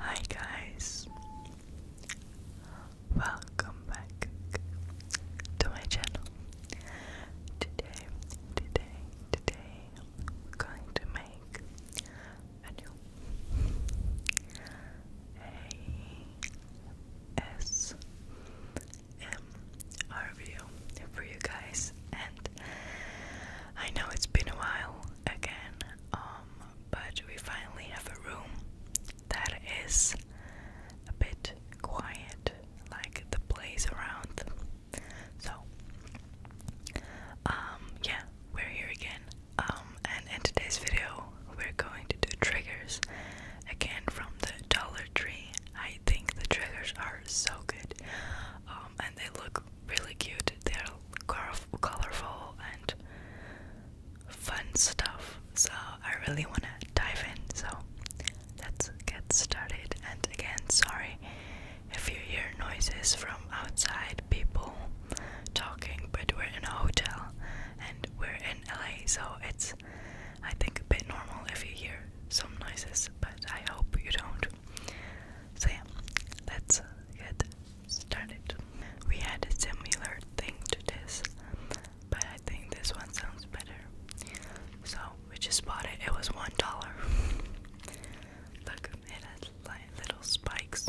Hi guys, welcome back to my channel. Today, today, today, I'm going to make a new ASMR video for you guys, and I know it's been a while again. Um, but we finally have a room that is a bit quiet, like the place around. So, um, yeah, we're here again. Um, and in today's video, we're going to do triggers again from the Dollar Tree. I think the triggers are so good, um, and they look really cute. They colorful and fun stuff. So I really want to dive in. So let's get started. And again, sorry if you hear noises from outside people talking, but we're in a hotel and we're in LA, so it's I think a bit normal if you hear some noises, but I hope you don't. So yeah, let's get started. We had a similar thing to this, but I think this one sounds better. So we just bought it. It was one dollar. Look, it has little spikes.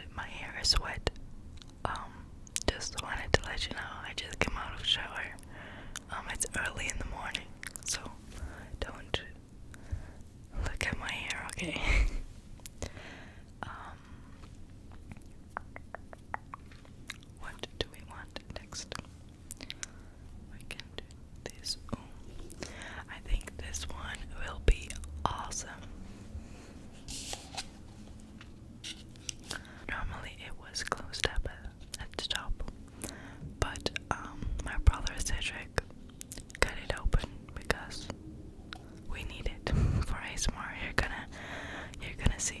and my hair is wet. Um, just wanted to let you know I just came out of shower. Um, it's early in the morning, so don't look at my hair, okay? um, what do we want next? We can do this. I think this one will be awesome. Normally it was closed up at, the top, but um, my brother Cedric cut it open because we need it for ASMR. You're gonna, you're gonna see.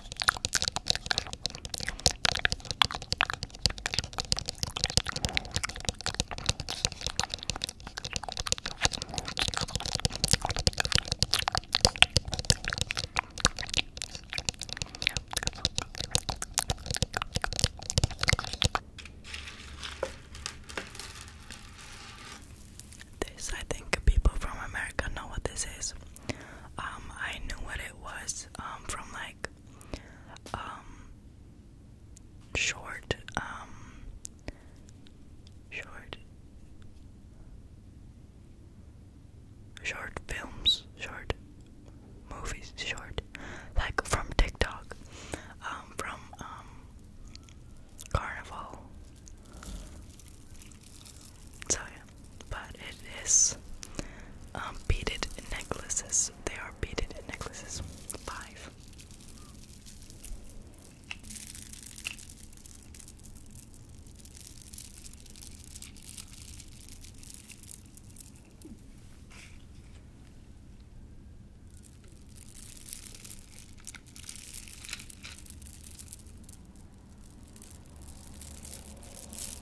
This, I think people from America know what this is. Um, I knew what it was um, from like um, short, short, short films, short movies, short, like from TikTok, from Carnival. So but it is um, beaded necklaces. They are beaded necklaces. Five.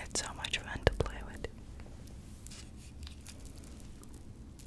It's so much fun to play with.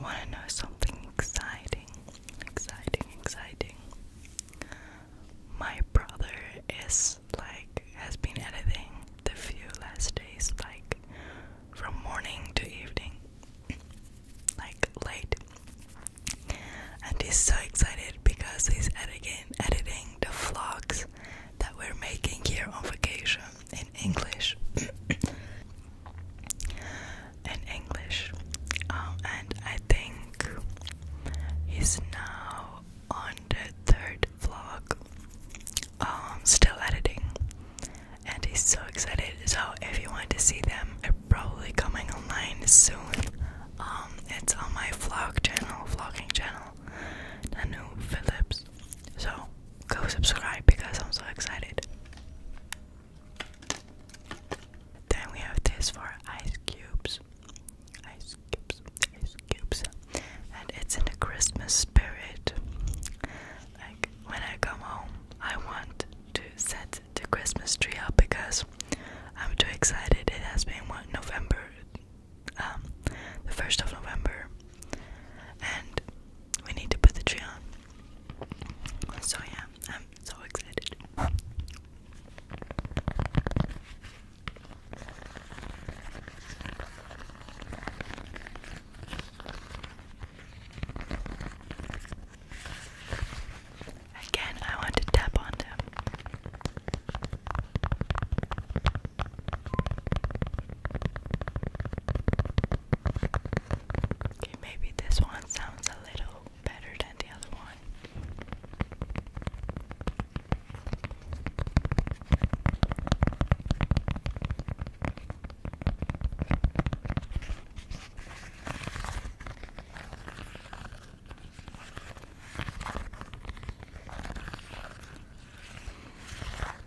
Want to know something exciting? Exciting, exciting. My brother is like, has been editing the few last days, like from morning to evening, like late. And he's so excited because he's editing, editing the vlogs that we're making here on vacation English. in English. Um, and I think he's now on the third vlog, um, still editing. And he's so excited. So if you want to see them, they're probably coming online soon. Um, it's on my vlog channel, vlogging channel, Nanu Phillips. So go subscribe because I'm so excited. Then we have this for ice cubes. Ice cubes, ice cubes. And it's in the Christmas spirit. Like when I come home, I want to set the Christmas tree up because I'm too excited. It has been what November, um, the first of November, and we need to put the tree on. So yeah, I'm so excited. Again, I want to tap on Okay, maybe this one sounds a little better than the other one.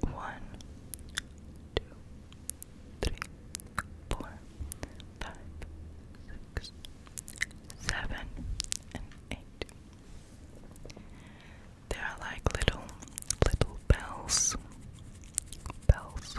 One, two, three, four, five, six, seven, and eight. They are like little, little bells. Bells.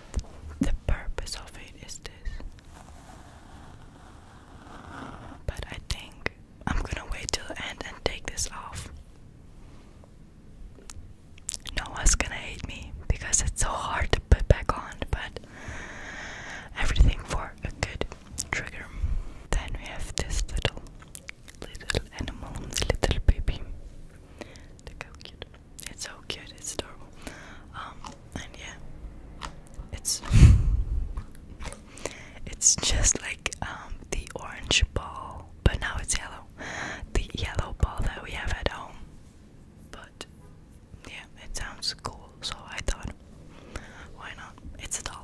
the purpose of it is this. But I think I'm gonna wait till the end and take this off. No one's gonna hate me because it's so hard to put back on, but everything for a good trigger. Then we have this little little animal, little baby. Look how cute. It's so cute, it's adorable. Um, and yeah, it's it's just like um, the orange ball, but now it's yellow. The yellow ball that we have at home. But yeah, it sounds cool, so I thought, why not? It's a dollar.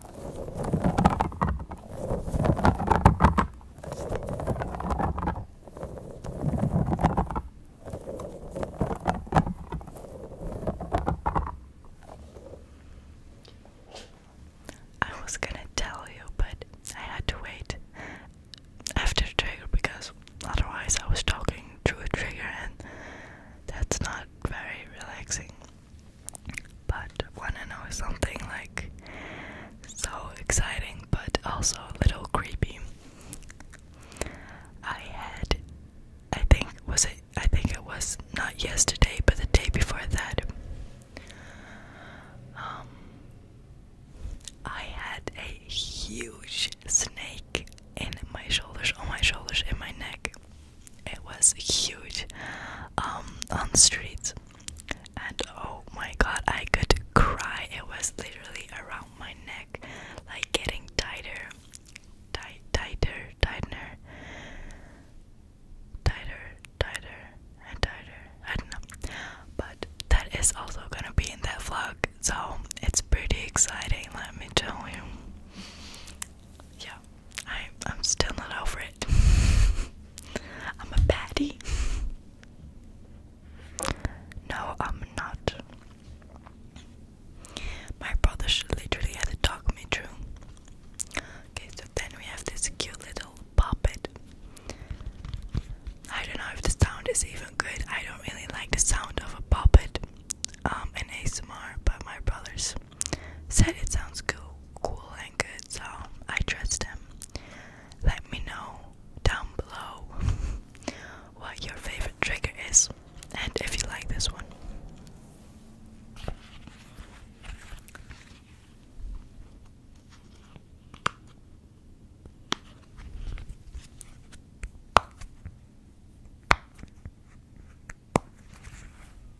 I was gonna tell you, but I had to wait after trigger because otherwise I was talking through a trigger and that's not very relaxing. But wanna know something like so exciting but also a little creepy. I had I think was it I think it was not yesterday but the day before that um I had a huge snake in my shoulders on my shoulders in my neck. It was huge um on the street and oh my god, I could cry. It was literally around my neck, like getting tighter, tight, tighter, tightener, tighter, tighter, and tighter. I don't know, but that is also gonna be in that vlog, so it's pretty exciting. Let me tell you. Yeah, I am still not over it. I'm a baddie. No, I'm not. My brother should literally have to talk me through. Okay, so then we have this cute little puppet. I don't know if the sound is even good. I don't really like the sound of a puppet um, in ASMR, but my brothers said it sounds cool, cool and good, so I trust him. Let me know down below what your favorite trigger is and if you like this one.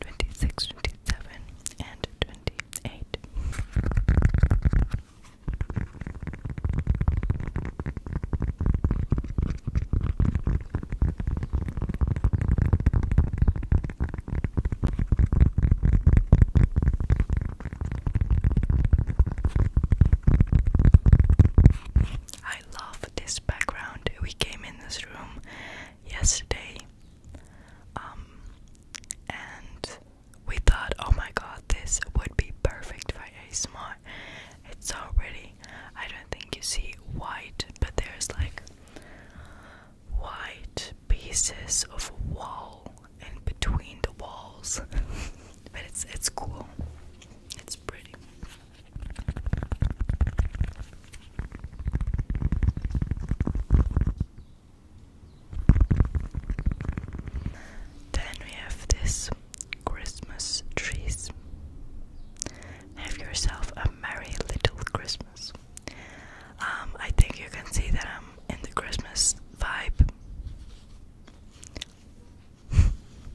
26, 27, and 28. I love this background. We came in this room yesterday. Um, and we thought, oh my god, this would be perfect for ASMR. It's already, I don't think you see white, but there's like white pieces of wall in between the walls. but it's it's cool. It's pretty. Then we have this Christmas trees. Have yourself a merry little Christmas. Um, I think you can see that I'm in the Christmas vibe.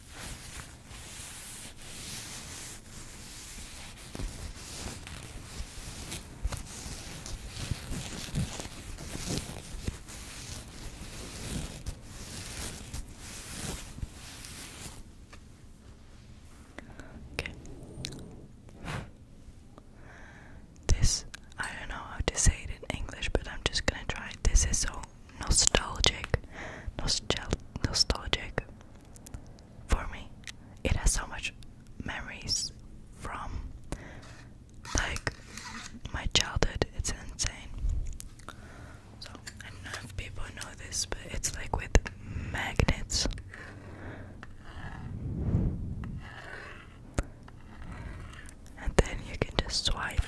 Okay. This I don't know how to say it in English, but I'm just gonna try. This is so so nostalgic, nostalgic for me. It has so much memories from like my childhood. It's insane. So I don't know if people know this, but it's like with magnets. And then you can just swipe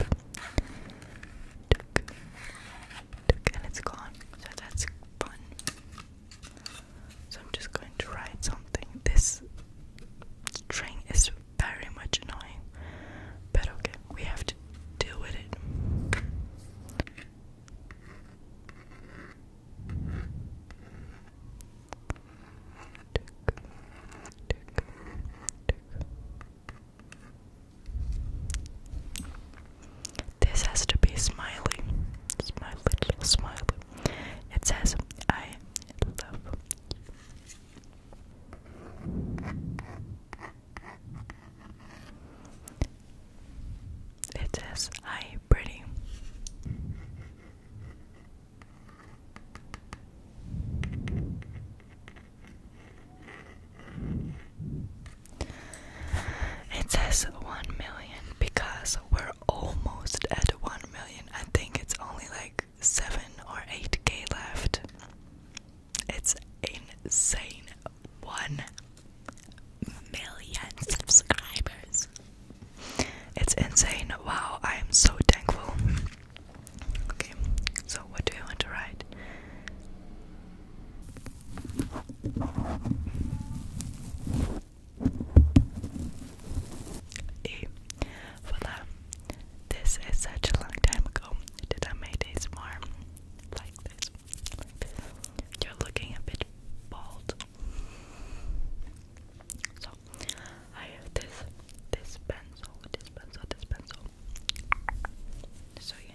and it's gone. So that's fun. So I'm just going to write something. This string is very much annoying, but okay, we have to deal with it. This has to be smiley. Smiley, little smiley. It says, I love It says, I pretty. It says 1 million because we're almost at 1 million. I think it's only like 7 or 8k left. It's insane. 1 million subscribers. It's insane. Wow, I am so thankful. Okay, so what do you want to write? Ew. Voila. This is such a long time ago that I made this more like this. Like this. You're looking a bit bald. So I have this this pencil, this pencil, this pencil. So yeah.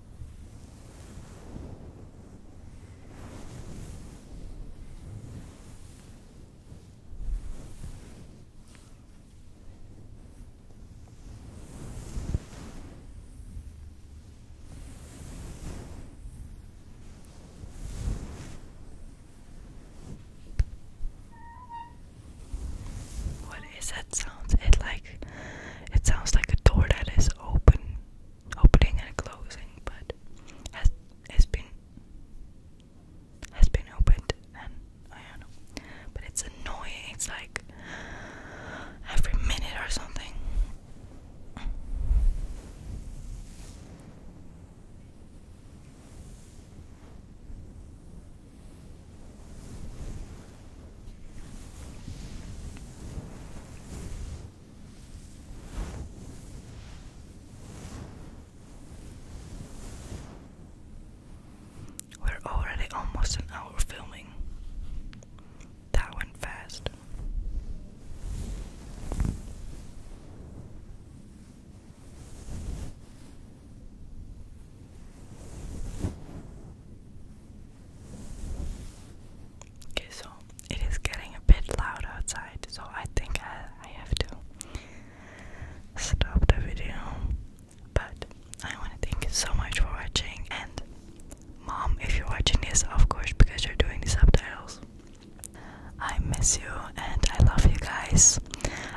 What is that sound? It like it sounds like a door that is open opening and closing, but has has been has been opened and I don't know. But it's annoying. It's like every minute or something. We're already almost an hour filming. That went fast. Okay, so it is getting a bit loud outside, so I think I, have to stop the video. But I want to thank you so much for watching, and mom, if you're watching this, of course, because you're doing the subtitles. I miss you and I love you guys.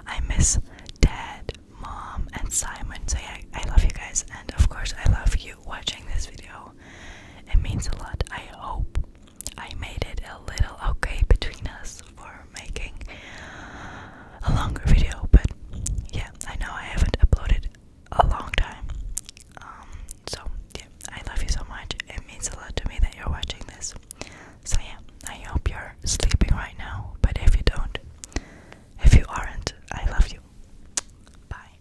I miss dad, mom, and Simon. So, I love you guys, and of course, I love you watching this video it means a lot. I hope I made it a little okay between us for making a longer video, but yeah, I know I haven't uploaded a long time. Um, so yeah, I love you so much. It means a lot to me that you're watching this. So yeah, I hope you're sleeping right now, but if you don't, if you aren't, I love you. Bye.